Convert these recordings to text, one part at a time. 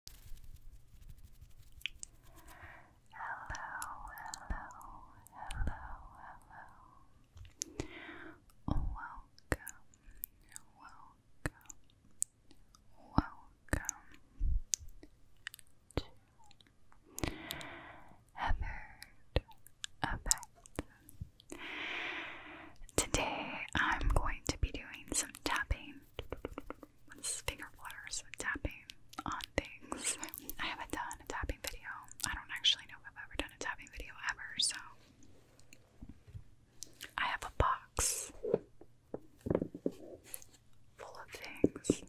Hello, hello, hello, hello. Welcome, welcome, welcome to Heathered Today I'm going to be doing some tapping. This finger flutters tapping on things. I haven't done a tapping video. I don't actually know if I've ever done a tapping video ever, so I have a box full of things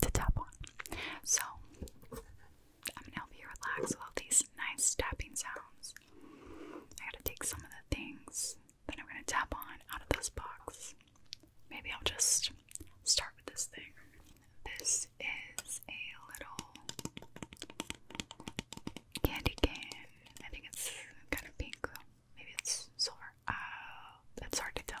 to tap on. So I'm gonna help you relax with all these nice tapping sounds. I gotta take some of the things that I'm going to tap on out of this box. Maybe I'll just start with this thing. This is a little candy cane. I think it's kind of pink. Maybe it's silver. Uh, it's hard to tell.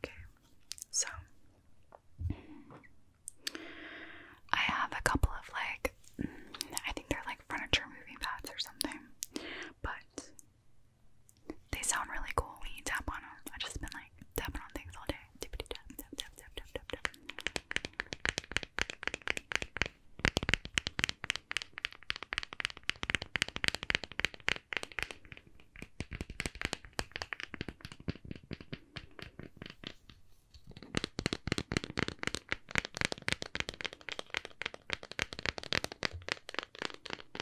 Okay, so I have a couple of like, I think they're like furniture moving pads or something, but they sound really cool when you tap on them. i just been like tapping on things all day. tap, tap, tap, tap, tap, tap, tap. Tap,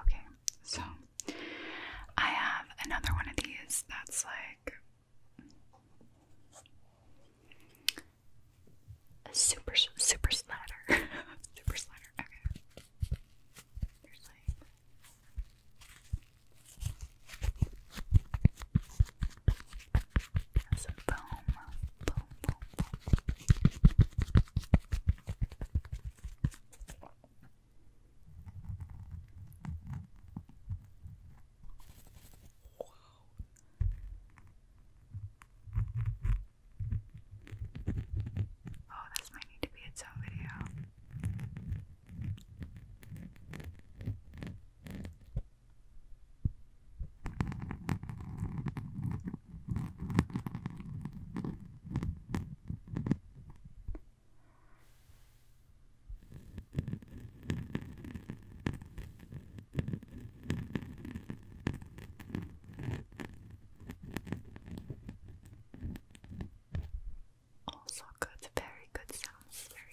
Okay, so I have another one of these that's like a super super slider. super slider. Okay and some Boom, Oh, this might need to be its own video. Also good, very good sounds, very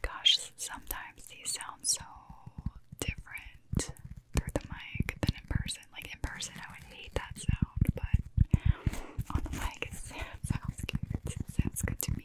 Gosh, sometimes these sounds so different through the mic than in person. Like in person, I would hate that sound, but on the mic, it sounds good. sounds good to me.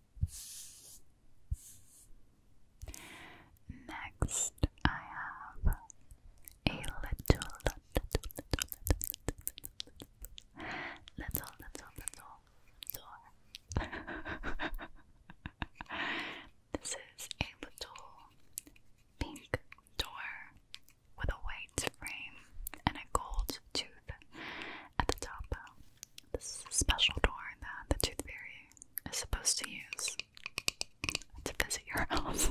Next, I have a little, little, little, little, little, little, little door. this is a little pink door with a white frame and a gold tooth at the top. This is a special door that the Tooth Fairy is supposed to use to visit your house.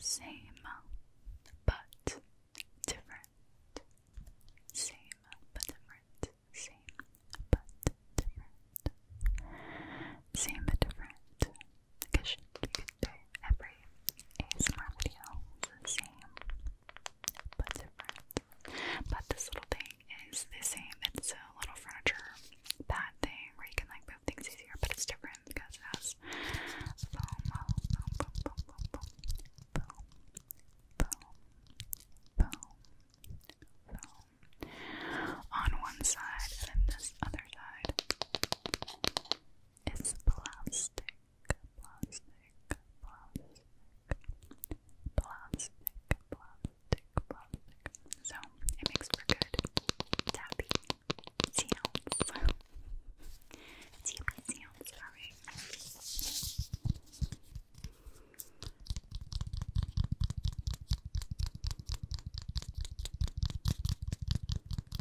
Same but different. Same but different. Same but different. Same but different because every ASMR video the same, but different. But this little thing is the same. It's a little furniture pad thing where you can like move things easier, but it's different because it has foam, foam, foam, foam, foam, foam, foam, foam, foam, foam on one side and then this other side. It's plastic, plastic, plastic, plastic, plastic, plastic. So it makes for good tapping sounds. tapping sounds, alright.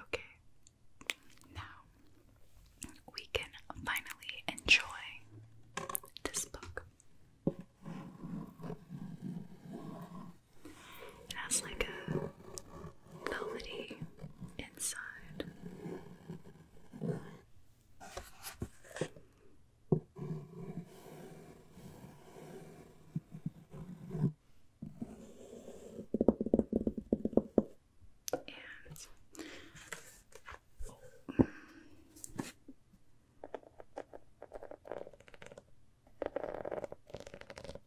Okay, now we can finally enjoy this book. It has like a velvety inside.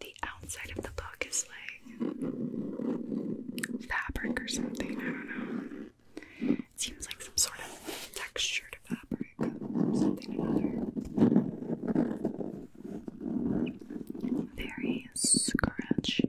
The outside of the book is like fabric or something, I don't know. It seems like some sort of textured fabric or something or another. Very scratchy.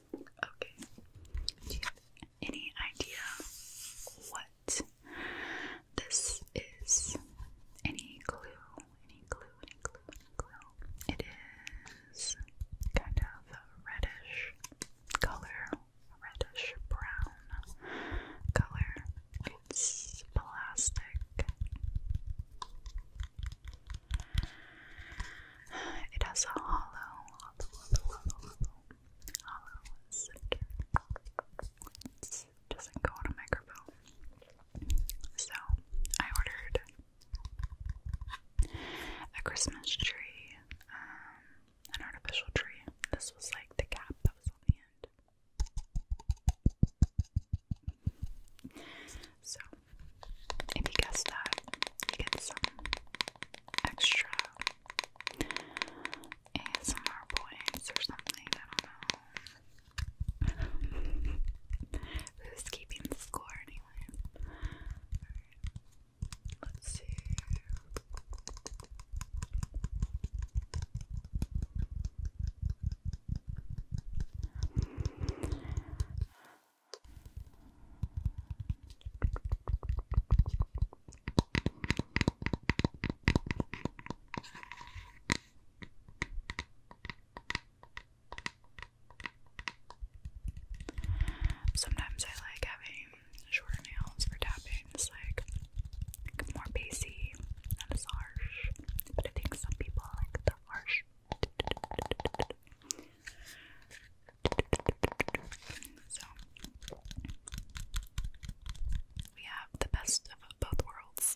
Okay. any idea what this is? Any clue? Any clue? Any clue? Any It is kind of a reddish color, reddish brown color. It's plastic. It has a hollow, doesn't go on a microphone. So I ordered a Christmas tree, um, an artificial tree. This was like the cap that was on the end. So if you guess that, you get some extra ASMR points or something. I don't know. Who's keeping the score anyway? Let's see. Sometimes I like having shorter nails for tapping. It's like, more bassy, not as harsh. But I think some people like the harsh. So we have the best of both worlds.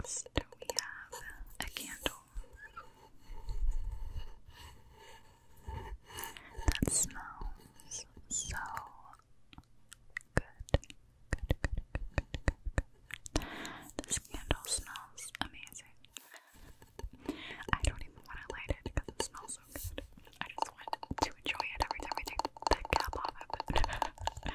Next, we have a candle. That smells so good. Good, good, good, good, good, good. This candle smells amazing. I don't even want to light it because it smells so good. I just want to enjoy it every time I take the cap off of it.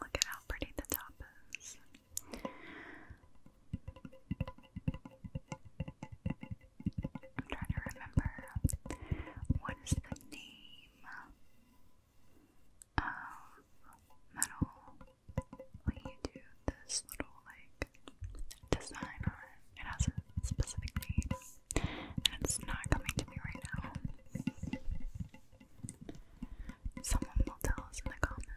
Look at how pretty the top is. I'm trying to remember what is the name of metal when you do this little like design on it. It has a specific need, and it's not coming to me right now. Someone will tell us in the comments.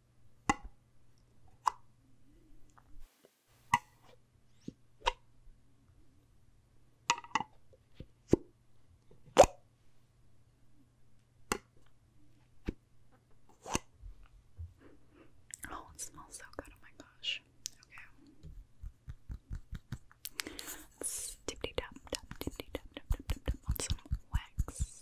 Oh, it smells so good. Oh my gosh. Okay. Let's dip dip tap tap dip tap tap tap tap tap on some wax.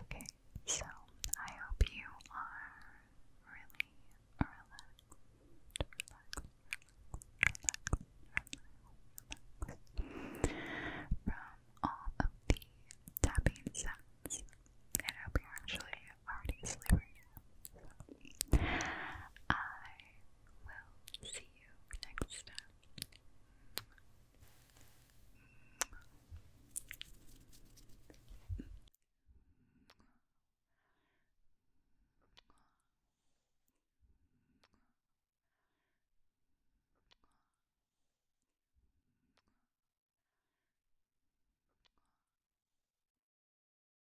Okay, so I hope you are really relaxed. From all of the tapping sounds. And I hope you're actually already sleeping will see you next time.